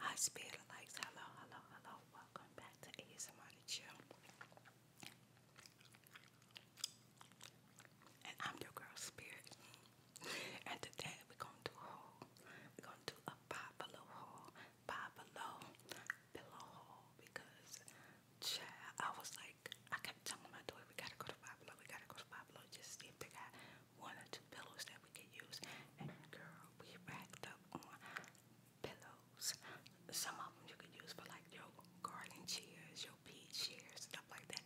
Hi Spirit Likes, hello, hello, hello. Welcome back to ASMR to Chill. And I'm your girl Spirit. And today we're gonna do a haul. We're gonna do a buy below haul, buy below pillow haul because child, I was like I kept telling my daughter we gotta go to buy below, we gotta go to buy below, just see if they one or two pillows that we could use. And girl, we racked up on pillows. Some of them you could use for like your garden chairs, your pea chairs, stuff like that.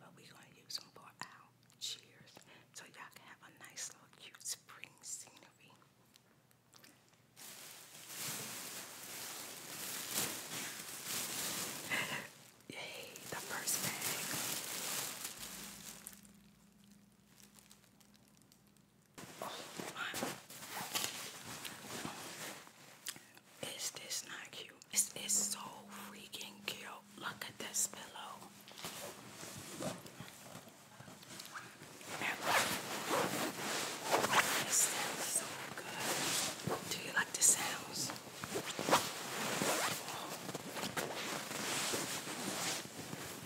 But we're gonna use them for our chairs. So y'all can have a nice little cute spring scenery. Yay, the first bag. Is this not cute? This is so freaking cute. Look at this pillow. It sounds so good. Do you like the sounds?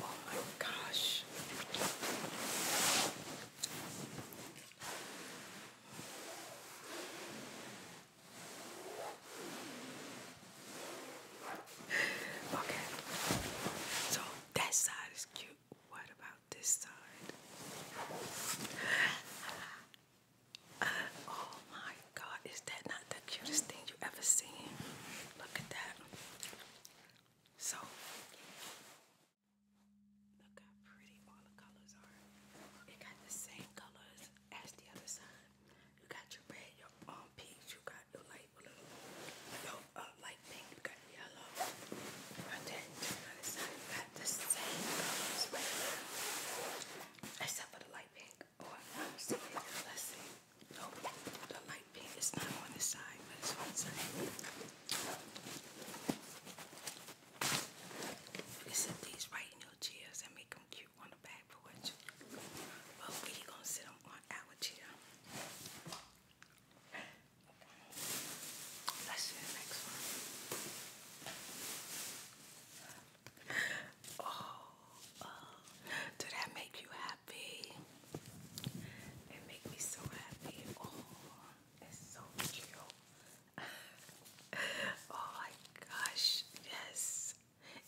Oh my gosh. Okay. So that side is cute. What about this side? oh my god, is that the cutest thing you ever seen. Look at that. So, look how pretty all the colors are. It got the same colors as the other side. You got your red, your um peach, you got your light blue, your uh, light pink, you got yellow. And then the other side, you got the same colors right now. for the light pink. oh, I'm seeing, let's see. No, the light pink is not on this side, but it's on this side. You can these right in your chairs and make them cute on the back porch. But we're gonna sit them on our chair. Let's see the next one. Oh, uh, that make you happy? It made me so happy. Oh, it's so cute. oh my gosh, yes.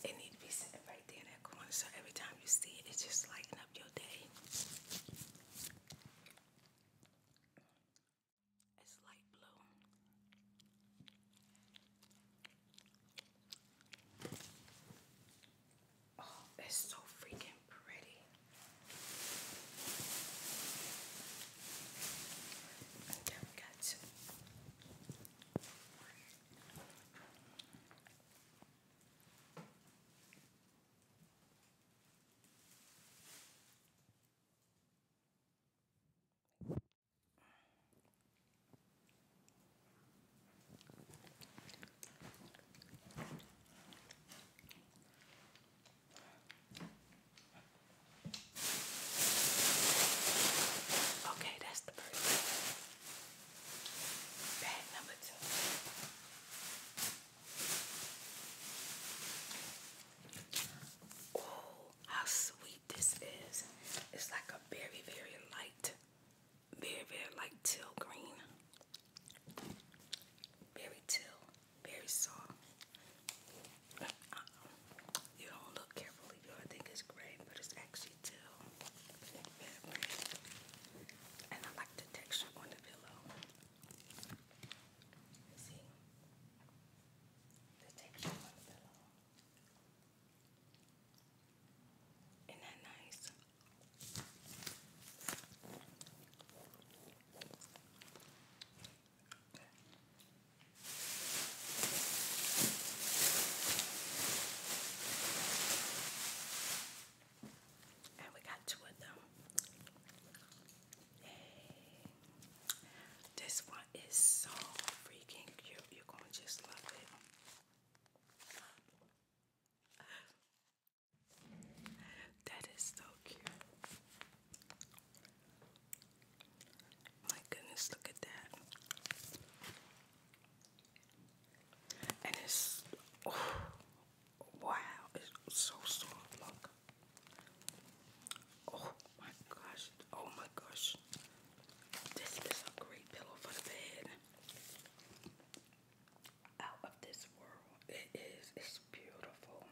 It needs to be sitting right there in that corner so every time you see it, it's just lighting up your day. It's light blue. Oh, it's so freaking pretty. And we got Okay, that's the first bag. number two. Oh, how sweet this is. It's like a very, very light very, very like teal green. Very teal, very soft. Uh-uh. You don't look carefully, you I think it's gray, but it's actually teal. And I like the texture on the pillow. See? The texture on the pillow. Isn't that nice? And we got two of them. Yay. This one is so freaking cute. You're going to just love it. That is so cute. My goodness, look at that. And it's oh, wow, it's so soft. Look. Oh my gosh. Oh my gosh. This is a great pillow for bed out of this world. It is. It's beautiful.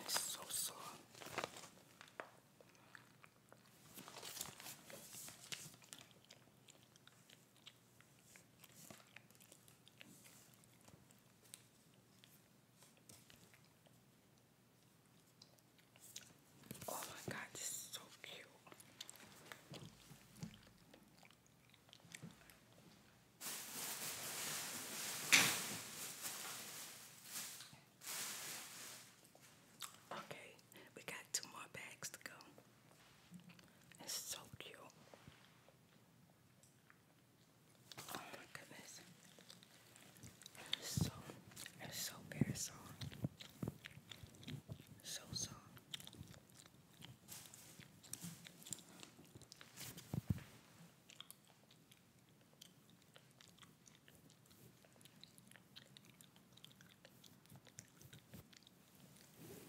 it's so soft. Oh my god, this is so cute. Okay, we got two more bags to go. It's so cute. Oh my goodness. so, it's so very so soft.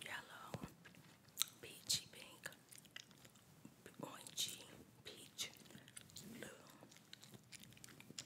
Yellow, peachy pink, orangey, peach, blue,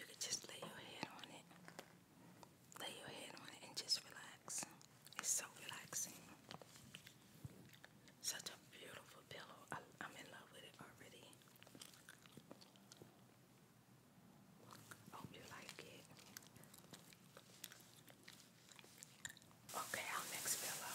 You could just lay your head on it lay your head on it and just relax. It's so relaxing. Such a beautiful pillow. I, am in love with it already. Hope you like it. Okay, our next pillow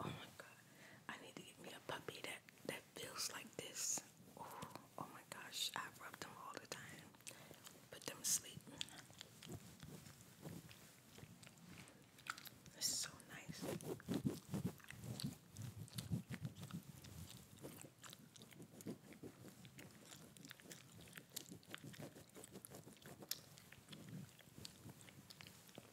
Oh my god. I need to get me a puppy that that feels like this. Oh, oh my gosh. I rub them all the time. Put them to sleep. This is so nice.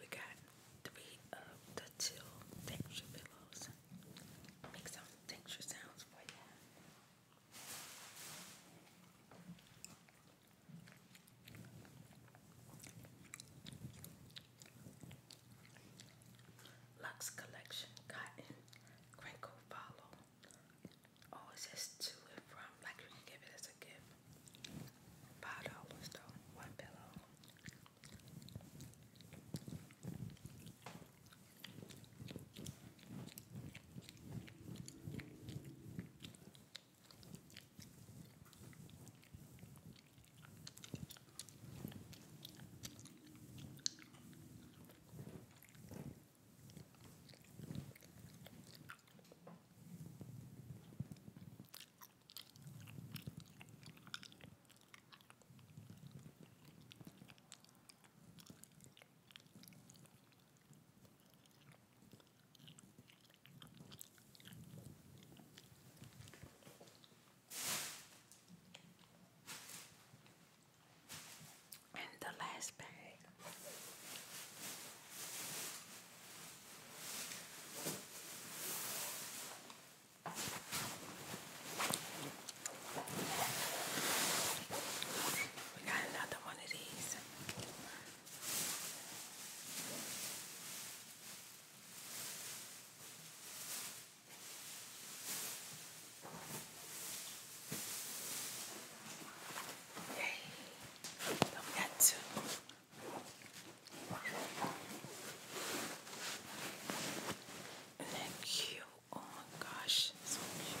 We got three of the chill texture pillows. Make some texture sounds for you. Lux Collection Cotton Crinkle Follow. Oh, it's just to and from, like you can give it as a gift. Five dollars though, one pillow. And the last bag we got another one of these. Yay. So we got two. Thank you. Oh gosh, so cute.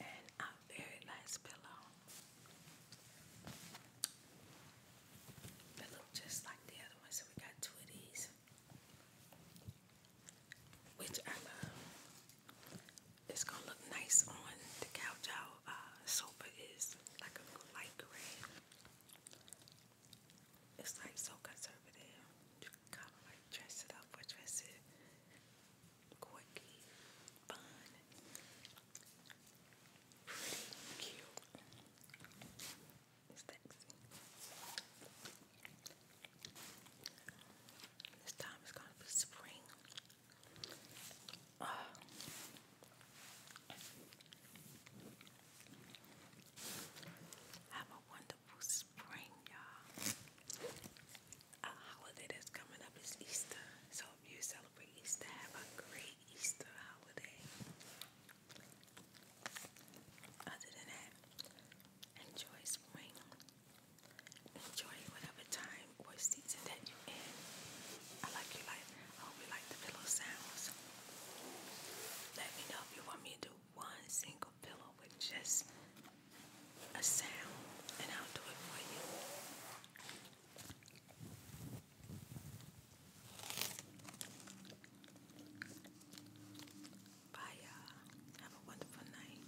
and a very nice pillow. They just like the other one, so we got two of these, which I love. Uh, it's gonna look nice on the couch. Our uh, sofa is like a light gray. It's like so conservative. You kind of like dress it up or dress quirky, fun, pretty, cute, sexy. This time it's gonna be spring. Uh, wonderful spring, y'all. A holiday that's coming up is Easter. So if you celebrate Easter, have a great Easter holiday. Other than that, enjoy spring. Enjoy whatever time or season that you're in. I like your life. I hope you like the pillow sounds. Let me know if you want me to one single pillow with just a sound, and I'll do it for you. Bye, y'all. Have a wonderful night.